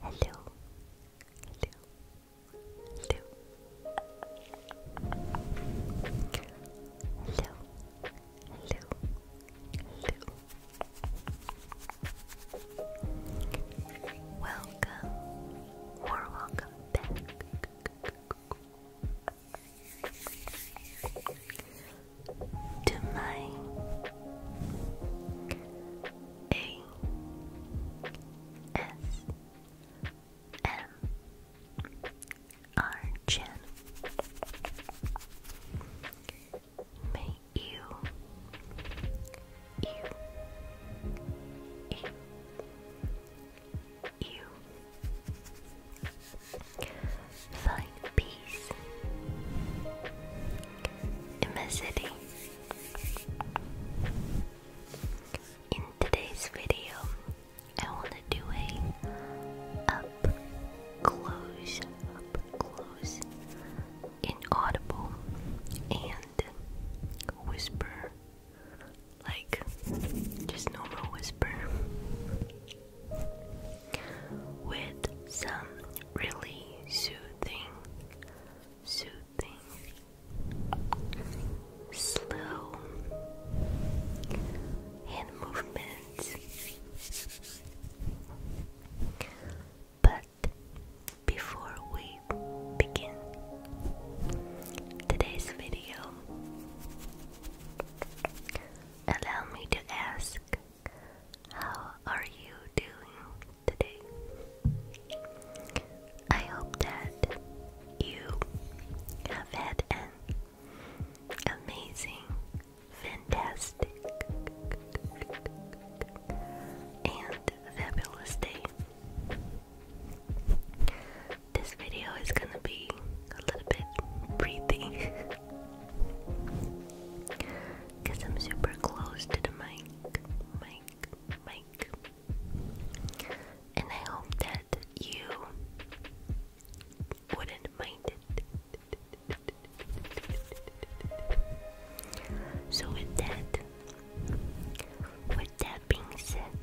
Hello. Hello. Hello. Hello. Hello. Hello. Welcome. welcome back to my A S M R channel. May you, you, you, you Find peace in my city. In today's video, I want to do a up close, up close, inaudible, and whisper, like just normal whisper with some really soothing, soothing, slow hand movements. But before we begin today's video, allow me to ask, how are you doing today? I hope that you have had an amazing, fantastic, and fabulous day. This video is gonna be a little bit breathing Cause I'm super close to the mic, mic, mic. And I hope that you wouldn't mind it. So with that, with that being said,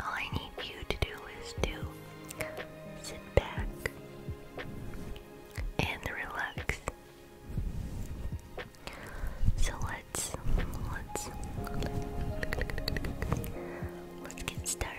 all I need you to do is to sit back and relax. So let's let's let's get started.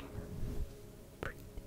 Breathe. Good.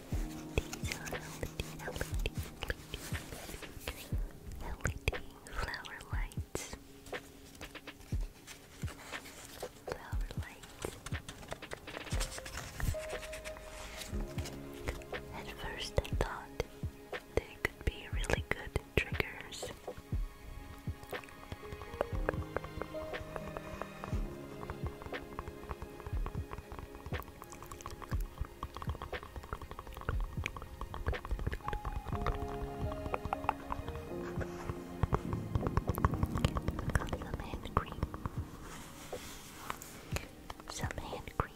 These are LED, LED, LED flower lights. Flower lights. At first, I thought they could be really good triggers. Got some hand cream. Some hand cream.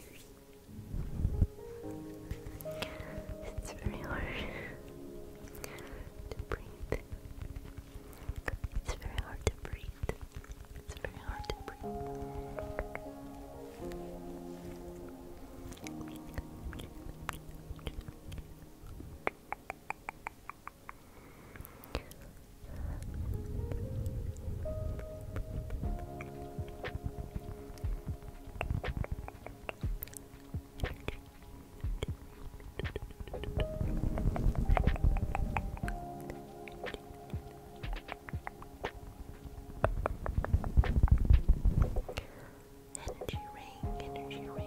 It's very hard to breathe. It's very hard to breathe. It's very hard to breathe. Energy rain, energy rain.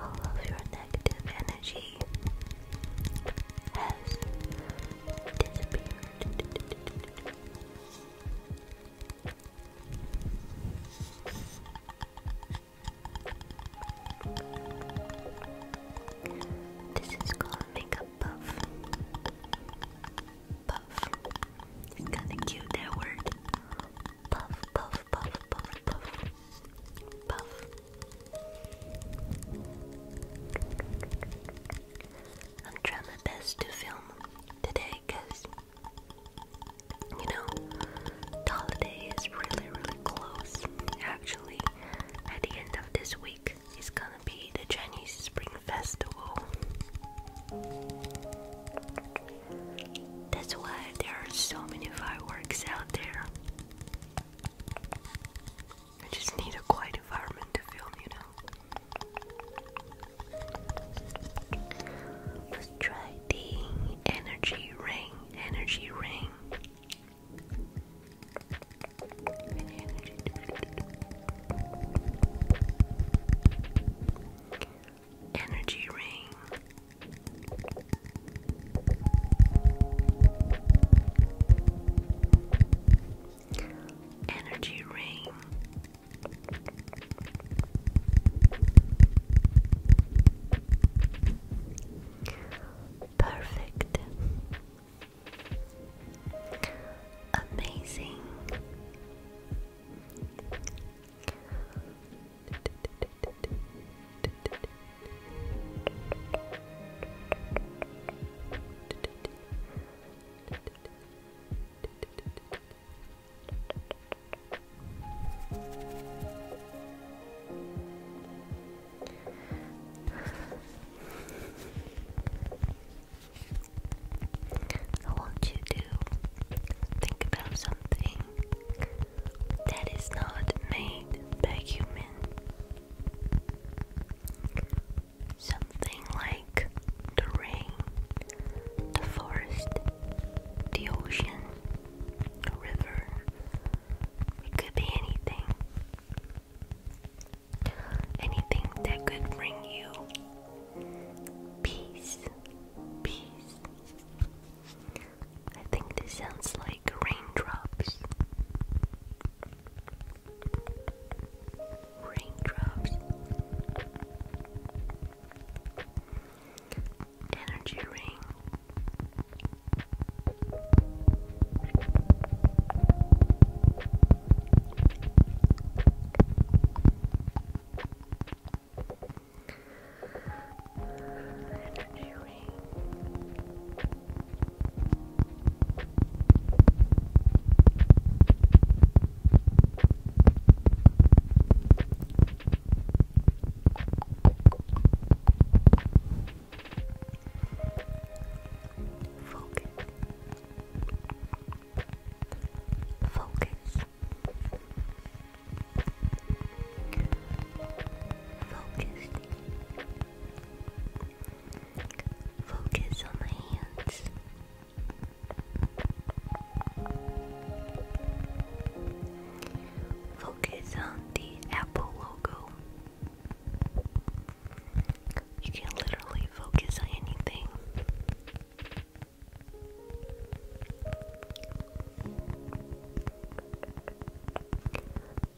All of your negative energy has disappeared. This is called makeup puff. Puff. It's kinda cute that word. Puff, puff, puff, puff, puff. Puff. I'm trying my best to film today holiday because you know holiday is really really close. Actually, at the end of this week is gonna be the Chinese Spring Festival. That's why there are so many fireworks out there. I just need a quiet environment to film, you know. Let's try the energy ring. Energy ring. Energy. Energy ring. Energy ring. Perfect. Amazing. I want you to think about something that is not made by human. Something like the rain the forest, the ocean, the river. It could be anything. Anything that could bring you peace. Peace. I think this sounds like raindrops. Raindrops energy ring. Energy ring. Focus. Focus. Focus. Focus on my hands. Focus Focus on the Apple logo. You can literally focus on anything.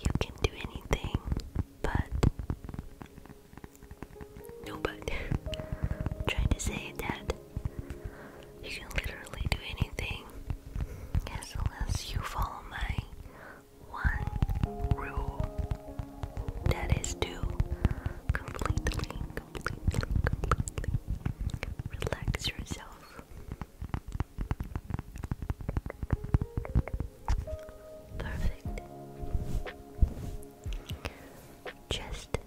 You can do anything, but no, but i trying to say that you can literally do anything as long as you follow my one rule that is to completely, completely, completely relax yourself. Perfect. Just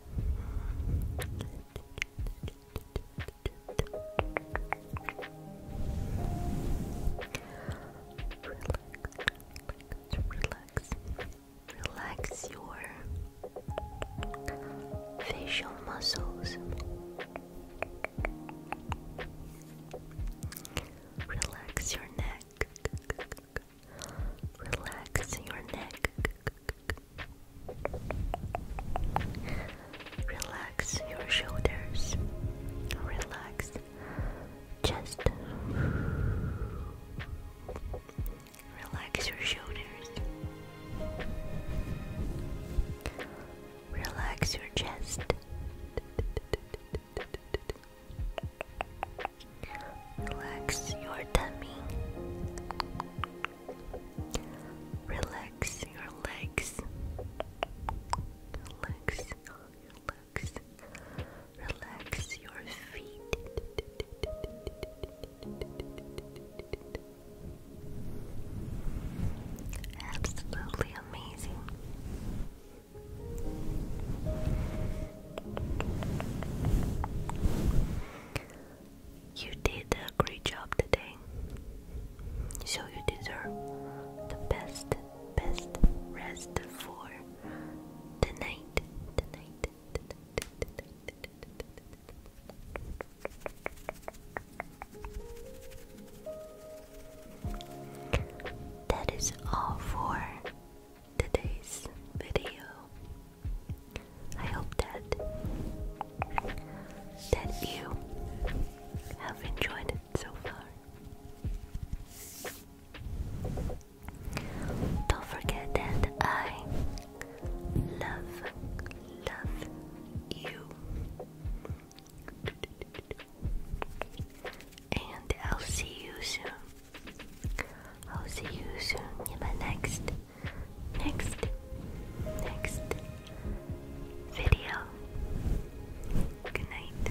relax, relax your facial muscles. Relax your neck. Relax your neck. Relax your shoulders. Relax chest. Relax your shoulders. Relax your chest. Relax your tummy. Relax your legs. Relax your Relax your feet. Absolutely amazing. You did a great job today. So you deserve the best, best rest for tonight. Tonight. tonight, tonight, That is all for today's video. I hope that that you have enjoyed so far. Don't forget that I love love you. And I'll see you soon. I'll see you soon in the next, next, next video. Good night.